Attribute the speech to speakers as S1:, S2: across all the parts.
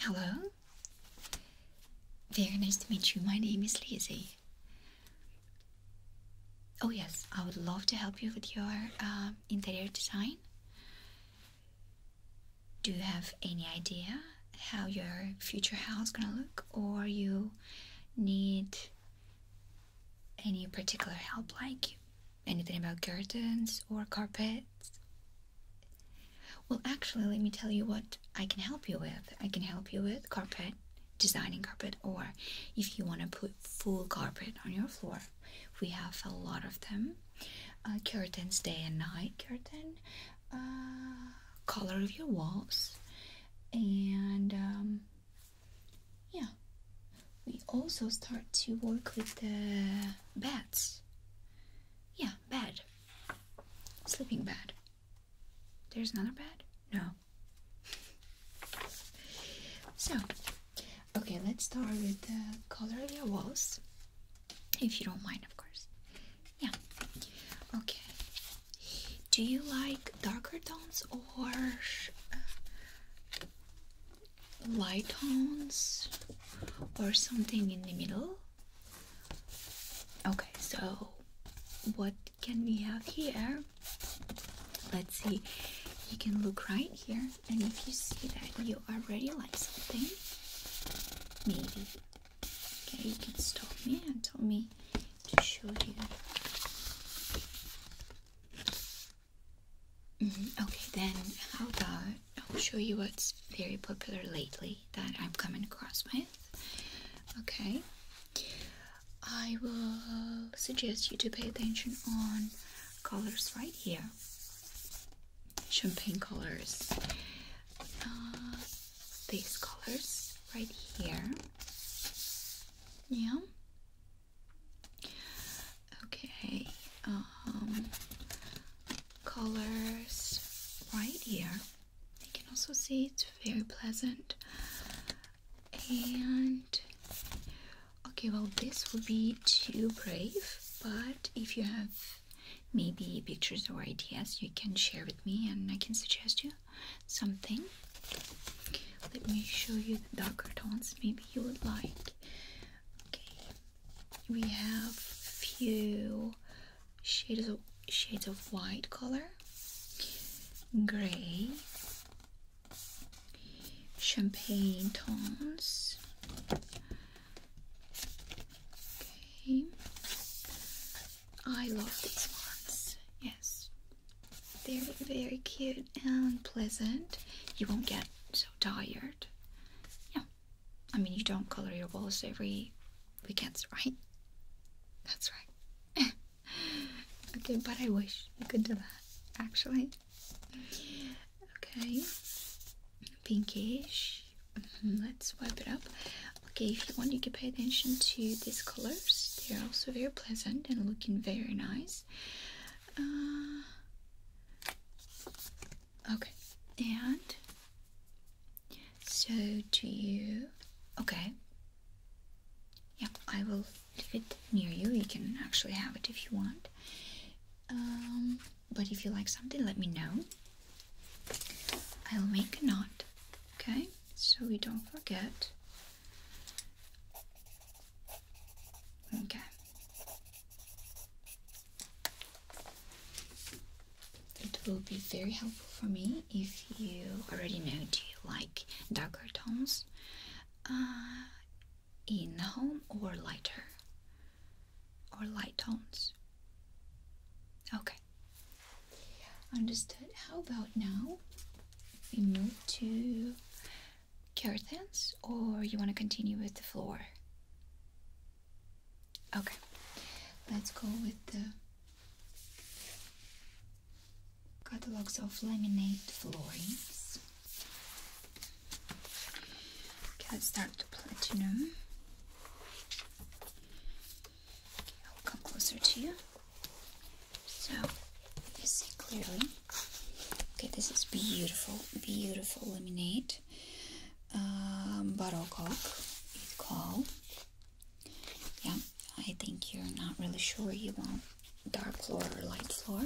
S1: Hello. Very nice to meet you. My name is Lizzy. Oh, yes, I would love to help you with your um, interior design do you have any idea how your future house is gonna look or you need any particular help like anything about curtains or carpets well actually let me tell you what i can help you with i can help you with carpet designing carpet or if you want to put full carpet on your floor we have a lot of them curtains day and night curtain uh, color of your walls and um, yeah we also start to work with the beds yeah bed sleeping bed there's another bed no so okay let's start with the color of your walls if you don't mind, of course. Yeah. Okay. Do you like darker tones or uh, light tones or something in the middle? Okay, so what can we have here? Let's see. You can look right here, and if you see that you already like something, maybe Okay, you can stop me and tell me to show you. Mm-hmm, okay, then I'll show you what's very popular lately that I'm coming across with. Okay, I will suggest you to pay attention on colors right here champagne colors. Uh, these colors right here. Yeah. Okay. Um, colors right here. You can also see it's very pleasant. And okay, well, this would be too brave, but if you have maybe pictures or ideas you can share with me and I can suggest you something. Let me show you the darker tones maybe you would like. Okay. We have few shades of shades of white color, gray, champagne tones, Okay. I love these ones. Yes. They're very cute and pleasant. You won't get so tired. Yeah. I mean, you don't color your walls every weekends, right? That's right. okay, but I wish I could do that, actually. Okay. Pinkish Mm-hmm, let's wipe it up. Okay, if you want, you can pay attention to these colors. They're also very pleasant and looking very nice. Uh, okay, and so do you. Okay. Yeah, I will leave it near you. You can actually have it if you want. Um, but if you like something, let me know. I'll make a note, okay? So we don't forget. Okay. It will be very helpful for me if you already know do you like darker tones uh, in the home or lighter? or light tones? Okay. Understood. How about now we move to curtains or you want to continue with the floor? Okay. Let's go with the catalogs of laminate floorings. Okay, let's start with platinum. Okay, I'll come closer to you. So you see clearly. Okay, this is beautiful, beautiful lemonade. Um, Buttercock, it's called. Yeah, I think you're not really sure you want dark floor or light floor.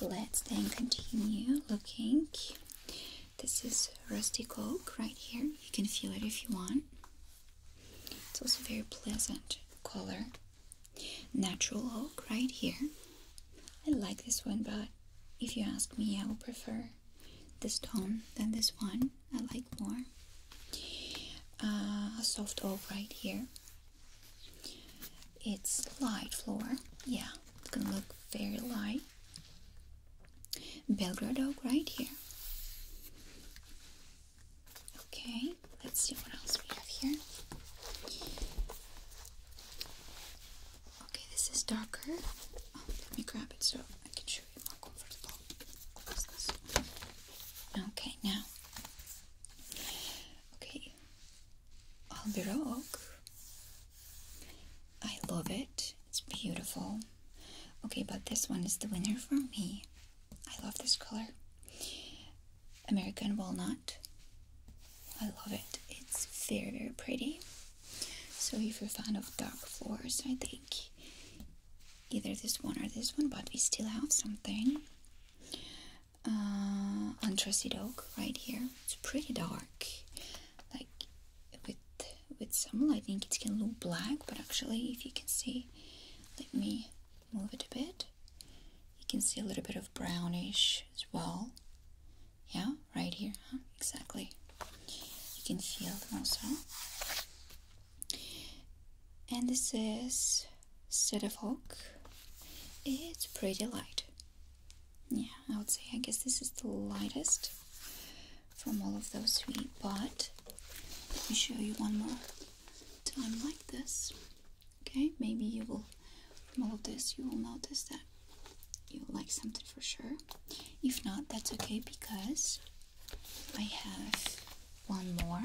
S1: Let's then continue looking this is rusty oak right here. You can feel it if you want. It's also very pleasant color. Natural oak right here. I like this one, but if you ask me, I would prefer this tone than this one. I like more. Uh, a soft oak right here. It's light floor. Yeah, it's gonna look very light okay? Belgrade oak right here. Okay, let's see what else we have here. Okay, this is darker. Oh, let me grab it so I can show you more comfortable. Okay, now. Okay, Albiro oak. I love it. It's beautiful. Okay, but this one is the winner for me. I love this color. American Walnut. I love it. It's very, very pretty. So if you're a fan of dark floors, I think either this one or this one, but we still have something. Uh, Oak right here. It's pretty dark. Like with with some lighting it can look black but actually if you can see let me move it a bit you can see a little bit of brownish as well yeah right here exactly you can feel them also and this is of Hawk it's pretty light yeah, I would say I guess this is the lightest from all of those three, but let me show you one more time like this. Okay, maybe you will, from all of this, you will notice that you like something for sure. If not, that's okay because I have one more.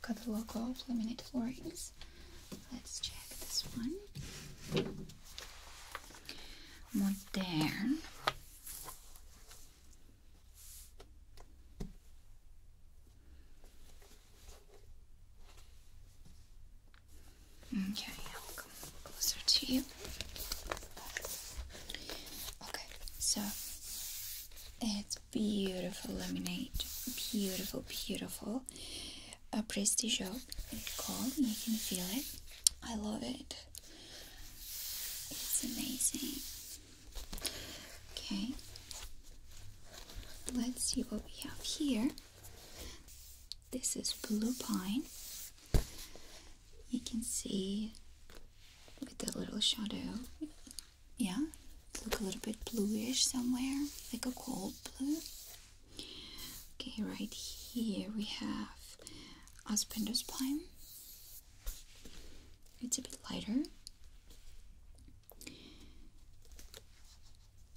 S1: Got the logo of laminated floorings. Let's check this one. Modern. Okay, I'll come closer to you. Okay, so it's beautiful lemonade. Beautiful, beautiful a prestige job. It's cold, you can feel it. I love it. It's amazing. Okay, let's see what we have here. This is blue pine. You can see with the little shadow. Yeah, look a little bit bluish somewhere, like a cold blue. Okay, right here we have Aspendus pine. It's a bit lighter.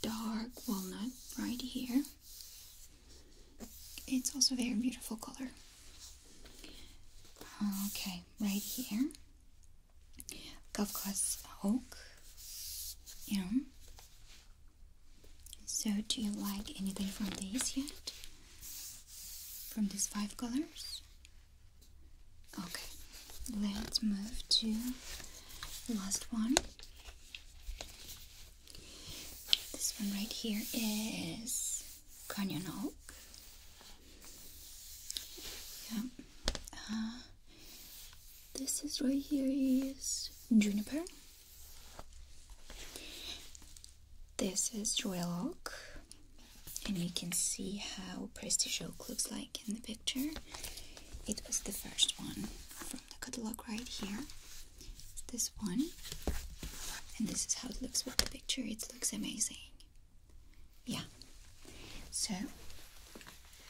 S1: Dark walnut right here. It's also very beautiful color. Okay, right here. Kafkas oak. Yeah. So, do you like anything from these yet? From these five colors? Okay, let's move to last one. This one right here is Canyon Oak. Yeah. Uh, this is right here is Juniper. This is Royal Oak, and you can see how Prestige Oak looks like in the picture. It was the first one from the catalog right here. this one, and this is how it looks with the picture. It looks amazing. Yeah. So,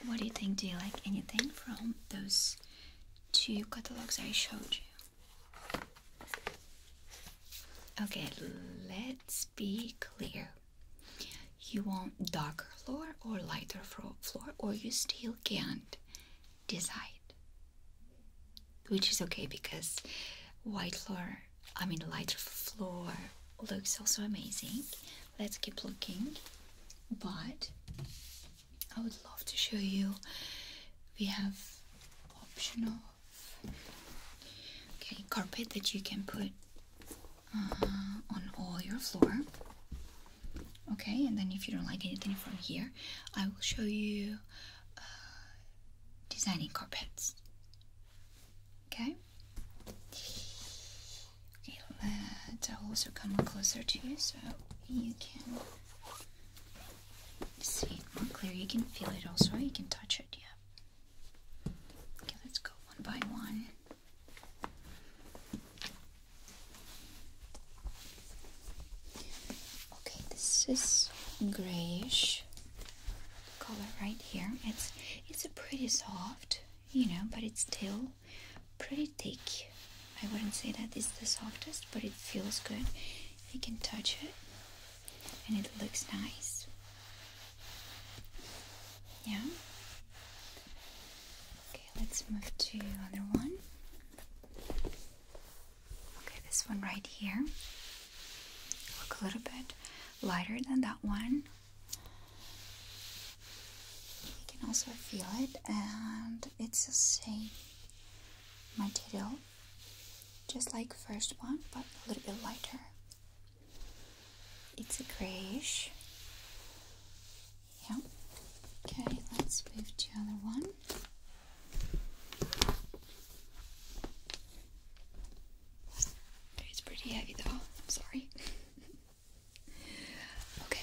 S1: what do you think? Do you like anything from those two catalogs I showed you. Okay, let's be clear. You want darker floor or lighter floor, or you still can't decide. Which is okay because white floor, I mean, lighter floor looks also amazing. Let's keep looking. But I would love to show you. We have optional, okay carpet that you can put uh, on all your floor. Okay, and then if you don't like anything from here, I will show you uh, designing carpets. Okay. Okay, let, I'll also come closer to you so you can See clear. You can feel it also. You can touch it. Yeah. Okay, let's go one by one. Okay, this is grayish color right here. It's it's a pretty soft, you know, but it's still pretty thick. I wouldn't say that it's the softest, but it feels good. You can touch it and it looks nice. Yeah. Okay, let's move to another one. Okay, this one right here. Look a little bit lighter than that one. You can also feel it and it's the same my tail, just like first one but a little bit lighter it's a grayish yeah okay let's move to other one it's pretty heavy though I'm sorry okay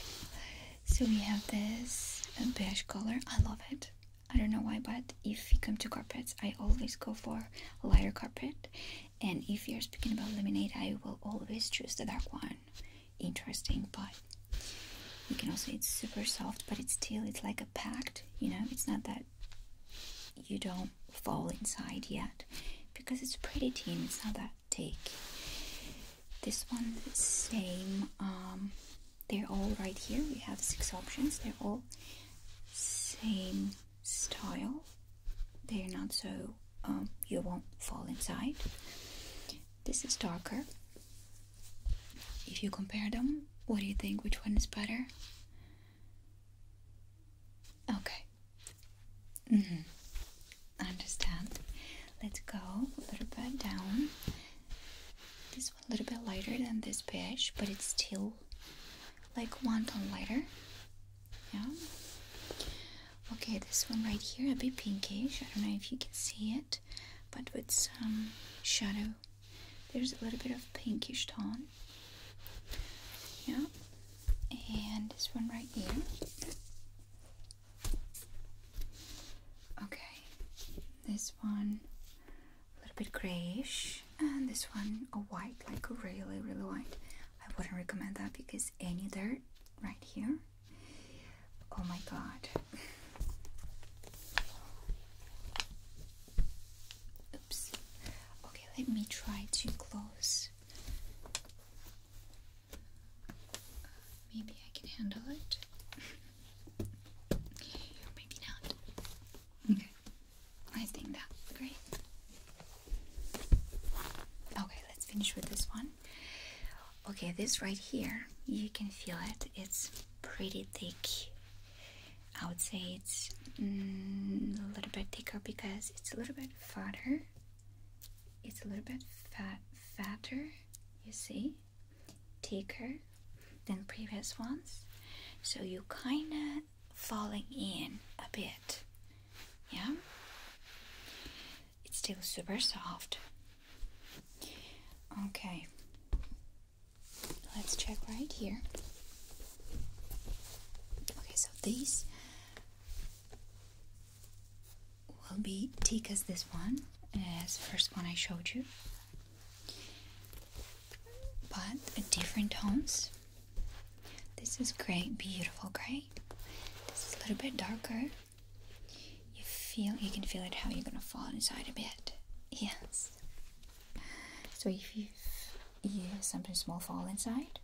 S1: so we have this beige color. I love it. I don't know why, but if we come to carpets, I always go for lighter carpet. And if you're speaking about lemonade, I will always choose the dark one. Interesting, but you can also, it's super soft, but it's still, it's like a pact. you know, it's not that you don't fall inside yet because it's pretty thin, it's not that thick. This one, same. Um, they're all right here. We have six options. They're all same style. They're not so um, you won't fall inside. This is darker. If you compare them, what do you think? Which one is better? Okay. -hmm understand. Let's go a little bit down. This one a little bit lighter than this beige, but it's still like one tone lighter. Yeah. Okay, this one right here a bit pinkish. I don't know if you can see it, but with some shadow. There's a little bit of pinkish tone. Yeah. And this one right here. Okay, this one a little bit grayish, and this one a white, like really, really white. I wouldn't recommend that because any dirt right here. Oh my god. Oops. Okay, let me try to close Maybe I can handle it. Maybe not. Okay. I think that's great. Okay, let's finish with this one. Okay, this right here, you can feel it. It's pretty thick. I would say it's mm, a little bit thicker because it's a little bit fatter. It's a little bit fat fatter, you see? thicker than previous ones so you kinda falling in a bit yeah it's still super soft okay let's check right here okay so these will be tika's this one, as first one I showed you, but different tones. This is grey, beautiful grey. This is a little bit darker. You feel, you can feel it how you're gonna fall inside a bit. Yes. So if you you something small fall inside,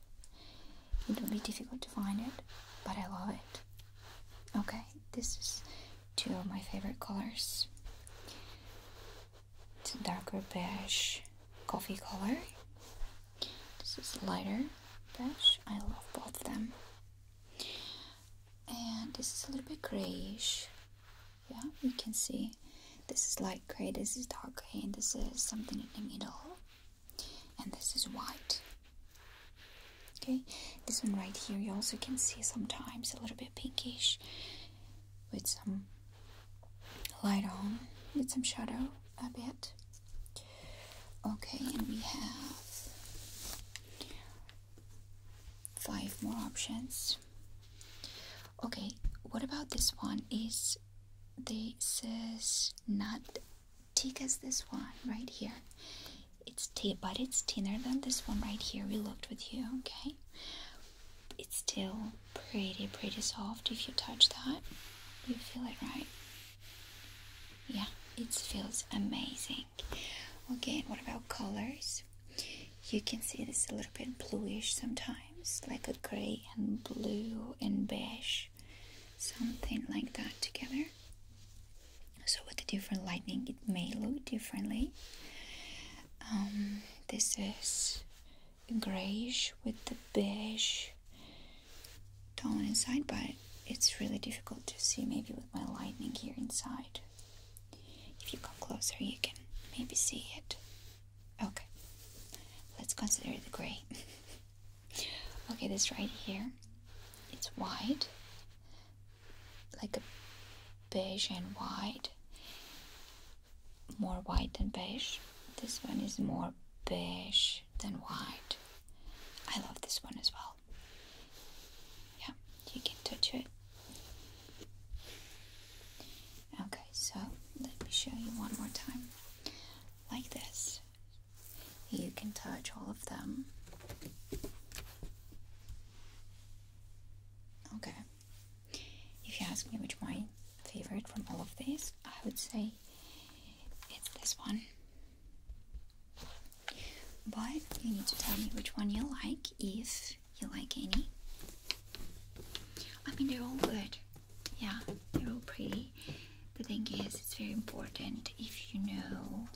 S1: it will be difficult to find it, but I love it. Okay, this is two of my favorite colors. It's a darker beige coffee color. This is lighter beige. I love both of them. And this is a little bit grayish. Yeah, you can see this is light gray, this is dark gray, and this is something in the middle. And this is white. Okay, this one right here, you also can see sometimes a little bit pinkish with some light on, with some shadow a bit. Okay, and we have five more options. Okay, what about this one? Is this is not tika's this one right here? It's t but it's thinner than this one right here we looked with you, okay? It's still pretty, pretty soft if you touch that. You feel it, right? Yeah, it feels amazing. Okay, what about colors? You can see this a little bit bluish sometimes, like a gray and blue and beige, something like that together so with the different lighting it may look differently um, this is grayish with the beige tone inside but it's really difficult to see maybe with my lighting here inside if you come closer you can maybe see it okay let's consider the gray okay this right here it's white like a beige and white more white than beige this one is more beige than white I love this one as well yeah you can touch it okay so let me show you one more time like this you can touch all of them. Okay. If you ask me which my favorite from all of these, I would say it's this one. But you need to tell me which one you like, if you like any. I mean, they're all good. Yeah, they're all pretty. The thing is, it's very important if you know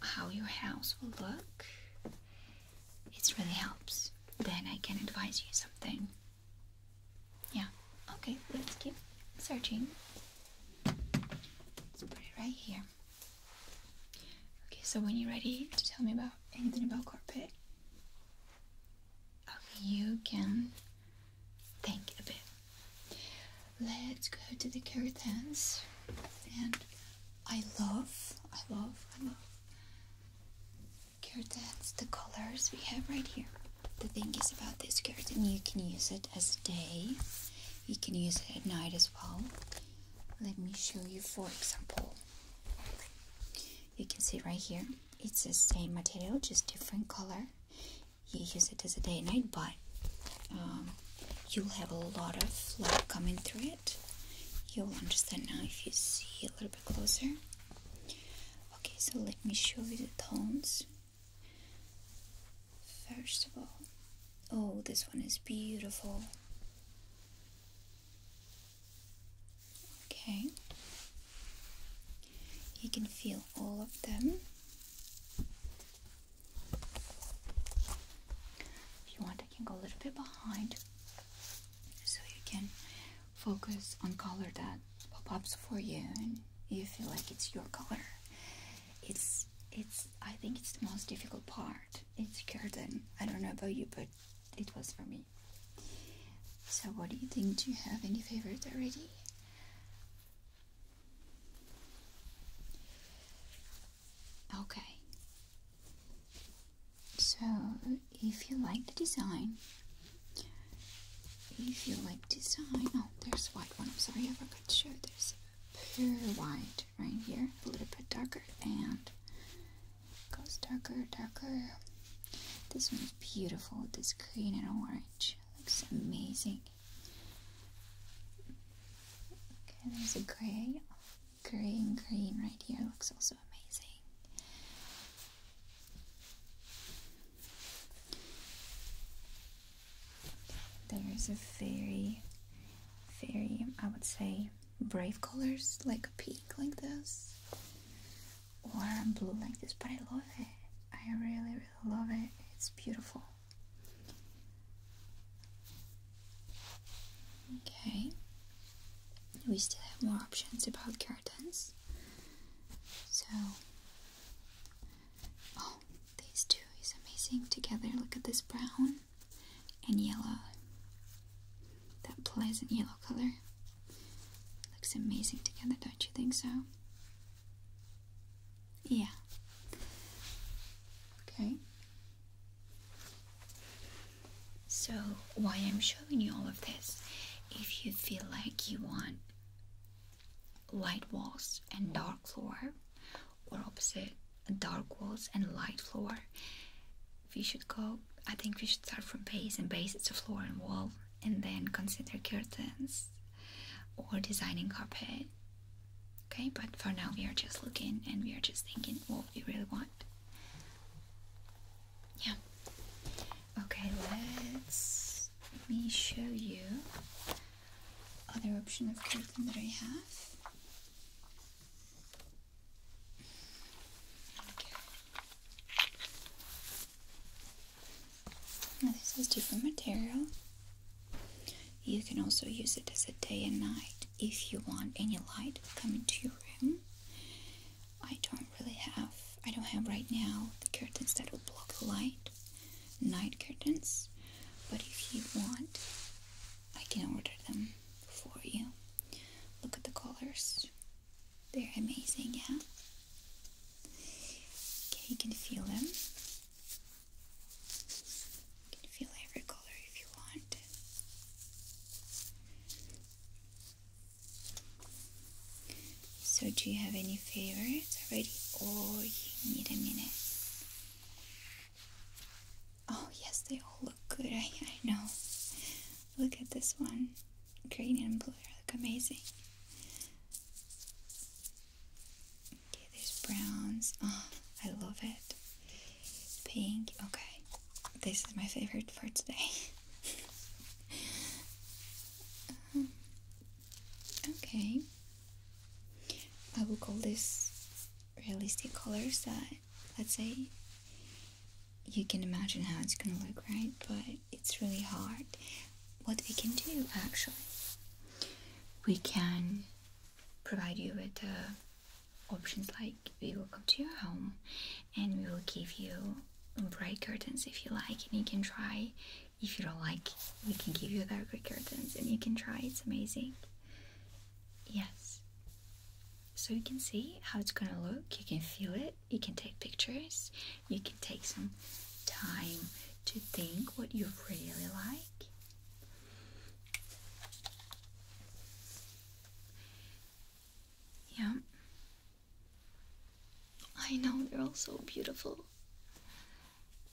S1: how your house will look, it really helps. Then I can advise you something. Yeah, okay, let's keep searching. Let's put it right here. Okay, so when you're ready to tell me about anything about carpet, you can think a bit. Let's go to the curtains. And I love, I love, I love curtains, the colors we have right here. The thing is about this curtain, you can use it as day, you can use it at night as well. Let me show you, for example. You can see right here, it's the same material, just different color you use it as a day and night, but um, you'll have a lot of light coming through it. You'll understand now if you see a little bit closer. Okay, so let me show you the tones. First of all, oh, this one is beautiful. Okay, you can feel all of them. If you want, I can go a little bit behind so you can focus on color that pops for you and you feel like it's your color. It's it's I think it's the most difficult part. It's curtain. I don't know about you but it was for me. So what do you think? Do you have any favorite already? Okay. So, if you like the design, if you like design, oh, there's white one. I'm sorry, I forgot to show. There's pure white right here, a little bit darker, and goes darker, darker. This one's beautiful. This green and orange looks amazing. Okay, there's a grey, grey and green right here. Looks also amazing. There's a very, very, I would say, brave colors like a pink like this or blue like this, but I love it. I really, really love it. It's beautiful. Okay, we still have more options about curtains. So, oh, these two is amazing together. Look at this brown and yellow, that pleasant yellow color. Looks amazing together, don't you think so? Yeah. Okay. So, why I'm showing you all of this, if you feel like you want light walls and dark floor, or opposite, dark walls and light floor, we should go. I think we should start from base, and base is the floor and wall, and then consider curtains or designing carpet Okay, but for now we are just looking and we are just thinking what we really want. Yeah. Okay, let's let me show you other option of curtain that I have. Okay. this is different material. You can also use it as a day and night if you want any light coming to your room. I don't really have, I don't have right now the curtains that will block the light, night curtains, but if you want, I can order them for you. Look at the colors, they're amazing, yeah? Okay, you can feel them can feel every color if you want. So, do you have any favorites already? Or oh, you need a minute? Oh, yes, they all look good. I, I know. Look at this one. Green and blue look amazing. Okay, these browns. Oh, I love it. Pink. Okay, this is my favorite for today. Um, okay, I will call this realistic colors that, let's say, you can imagine how it's gonna look, right? But it's really hard. What we can do actually, we can provide you with uh, options like we will come to your home and we will give you bright curtains if you like and you can try if you don't like we can give you darker curtains and you can try it's amazing yes so you can see how it's gonna look you can feel it you can take pictures you can take some time to think what you really like yeah. I know you're all so beautiful.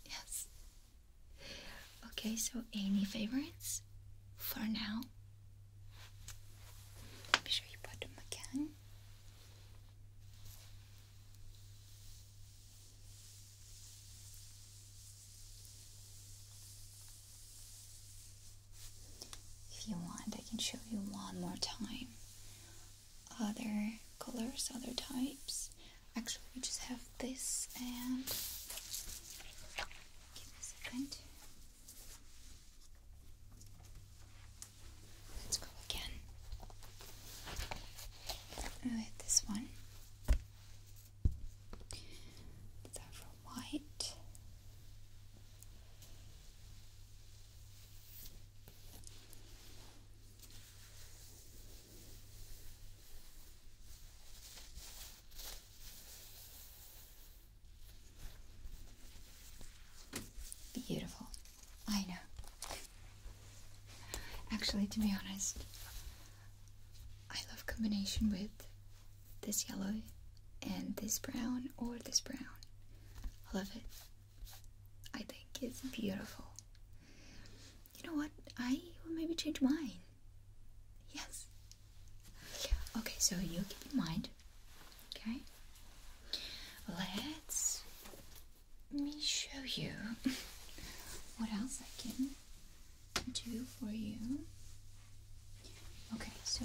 S1: Yes. Okay, so any favorites for now? Make sure you put them again. If you want, I can show you one more time other colors, other types. Actually, we just have this and give me a let Let's go again with this one. It's for white. Beautiful. I know. Actually, to be honest, I love combination with this yellow and this brown or this brown. I love it. I think it's beautiful. You know what? I will maybe change mine. Yes. Okay, so you keep in mind. Okay. Let's let me show you what else I can do for you. Okay, so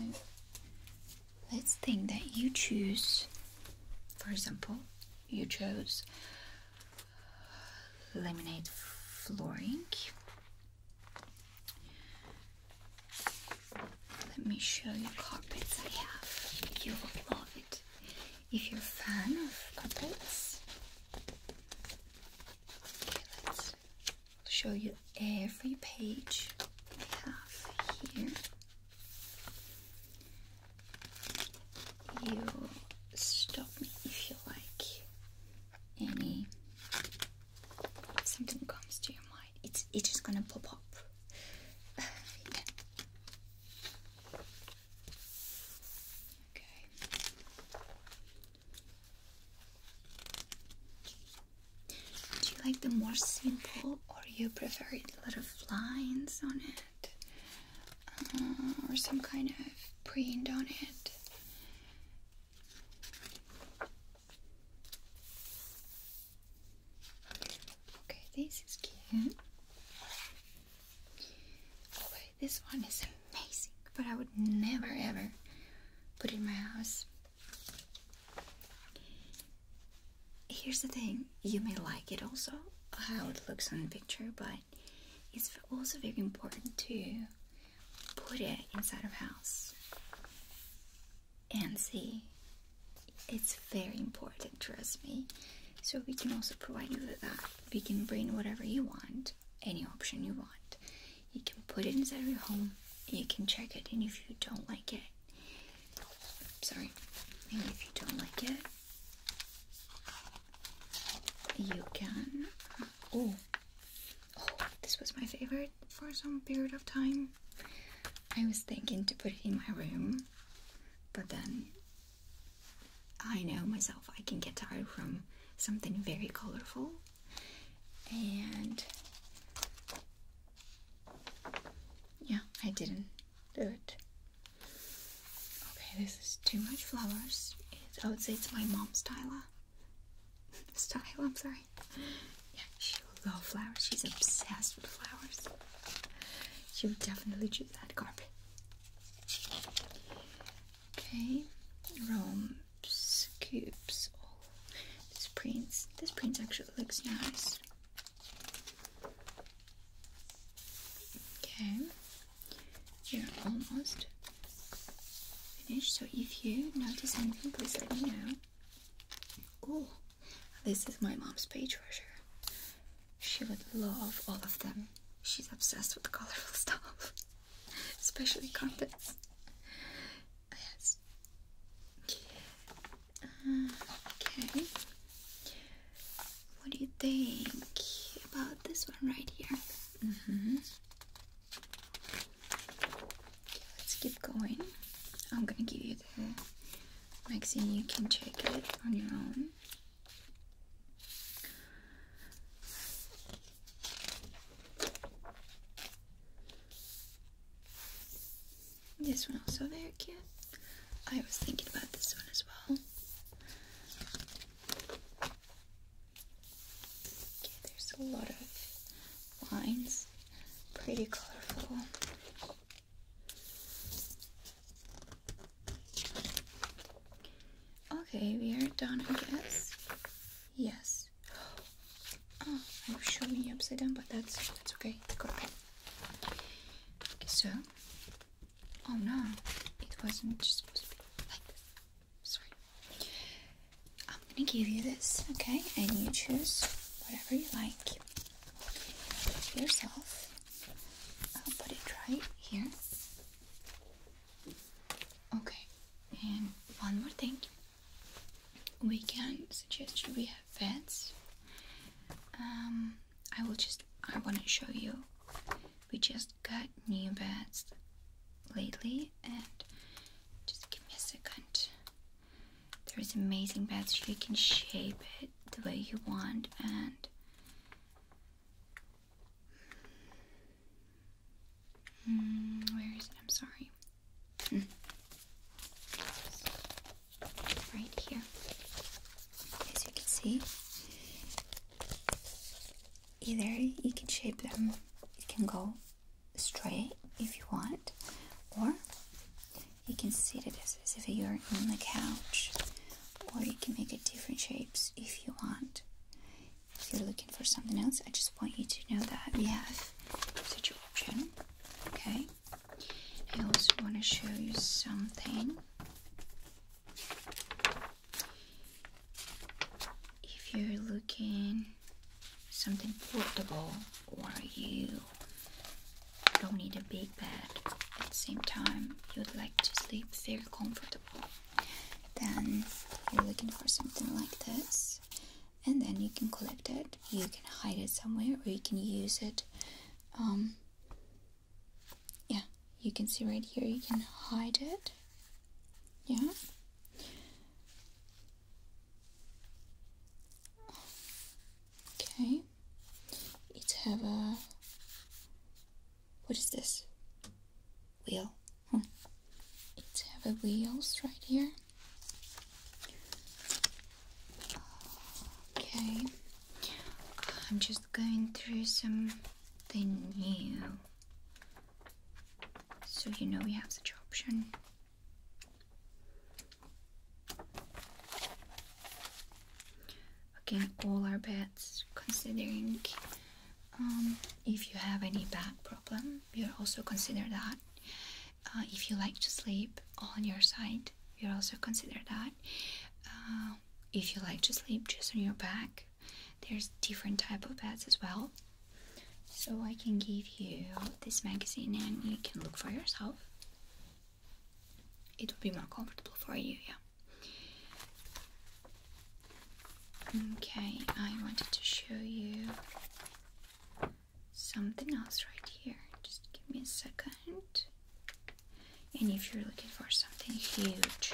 S1: let's think that you choose, for example, you chose laminate flooring. Let me show you carpets I have. You will love it. If you're a fan of carpets, Okay, let's show you every page I have here. You stop me if you like any something comes to your mind. It's it's just gonna pop up. Okay. Do you like the more simple, or you prefer a lot of lines on it, uh, or some kind of print on it? Okay, this is cute. This one is amazing, but I would never ever put in my house. Here's the thing, you may like it also, how it looks on the picture, but it's also very important to put it inside of house and see. It's very important, trust me. So we can also provide you with that. We can bring whatever you want any option you want. You can put it inside your home, you can check it, and if you don't like it, sorry, Maybe if you don't like it, you can. oh, oh, this was my favorite for some period of time. I was thinking to put it in my room, but then I know myself, I can get tired from something very colorful. And yeah, I didn't do it. Okay, this is too much flowers. It's, I would say it's my mom's style. style, I'm sorry. Yeah, she loves flowers. She's obsessed with flowers. She would definitely choose that carpet. Okay, rhombs, cubes, this these prints. This print actually looks nice. Okay, you're almost finished. So if you notice anything, please let me know. Oh, this is my mom's page treasure. She would love all of them. She's obsessed with the colorful stuff especially carpets. Yes. okay. What do you think about this one right here? Mm-hmm. let's keep going. I'm gonna give you the magazine. You can check it on your own. This one also very cute. I was thinking about this one as well. there's a lot of lines. Pretty colorful. Okay, we are done, I guess. Yes. Oh, I'm showing you upside down, but that's that's okay. Okay, so. Oh no, it wasn't supposed to be like this. Sorry. I'm gonna give you this, okay? And you choose whatever you like yourself. I'll put it right here. Okay, and one more thing. We can suggest you we have vets. Um, I will just I want to show you. We just got new beds lately, and just give me a second. There is amazing beds. You can shape it the way you want, and Mm, where is it? I'm sorry. Right here. As you can see, either you can shape them, it can go straight if you want, or you can sit it as, as if you're on the couch, or you can make it different shapes if you want if you're looking for something else, I just want you to know that we have such an option. Okay. I also want to show you something. If you're looking something portable or you don't need a big bed at the same time, you'd like to sleep very comfortable. Then you're looking for something like this, and then you can collect it. You can hide it somewhere, or you can use it. Um, yeah, you can see right here, you can hide it. Yeah. Okay. It have a what is this? Wheel. Hmm. It's heavy wheels right here. Okay. I'm just going through something new. So you know we have such option. Again, all our bed considering um, if you have any back problem, we'll also consider that. Uh, if you like to sleep on your side, we'll also consider that. Uh, if you like to sleep just on your back, there's different type of beds as well. So I can give you this magazine and you can look for yourself. It will be more comfortable for you, yeah. Okay, I wanted to show you something else right here. Just give me a second. And if you're looking for something huge,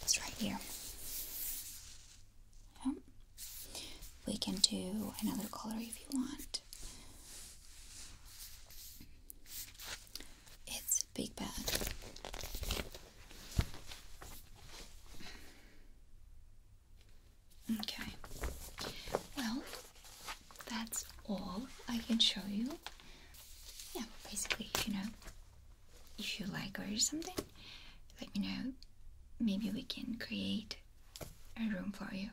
S1: it's right here. Yeah. We can do another color if you want. It's a Big Bad. Okay. Well, that's all I can show you. Yeah, basically, you know, if you like or something, let me know. Maybe we can create a room for you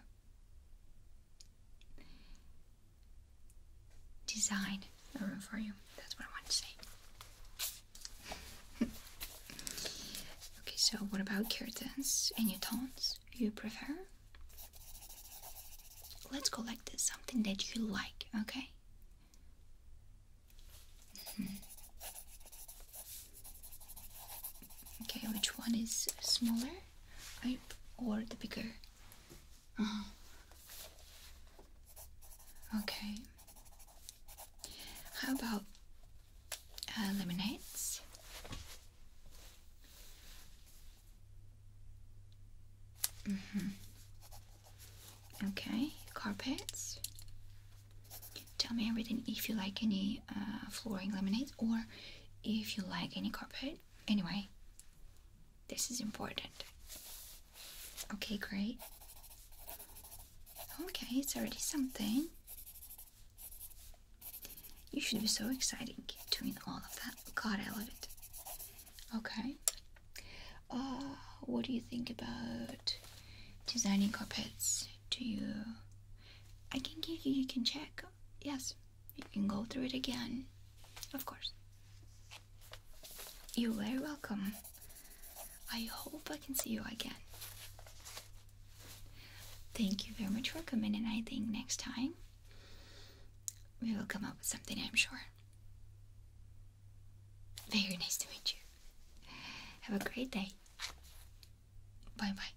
S1: design a room for you. That's what I want to say. okay, so what about curtains? and Any tones you prefer? Let's go like something that you like, okay? Okay, which one is smaller or the bigger? Uh -huh. Okay. How about uh, lemonades? Mm-hmm. Okay, carpets. Tell me everything if you like any uh, flooring lemonade or if you like any carpet. Anyway, this is important. Okay, great. Okay, it's already something. You should be so exciting doing all of that. God, I love it. Okay. Uh, what do you think about designing carpets? Do you? I can give you. You can check. Yes, you can go through it again. Of course. You're very welcome. I hope I can see you again. Thank you very much for coming, and I think next time we will come up with something, I'm sure. Very nice to meet you. Have a great day. Bye bye.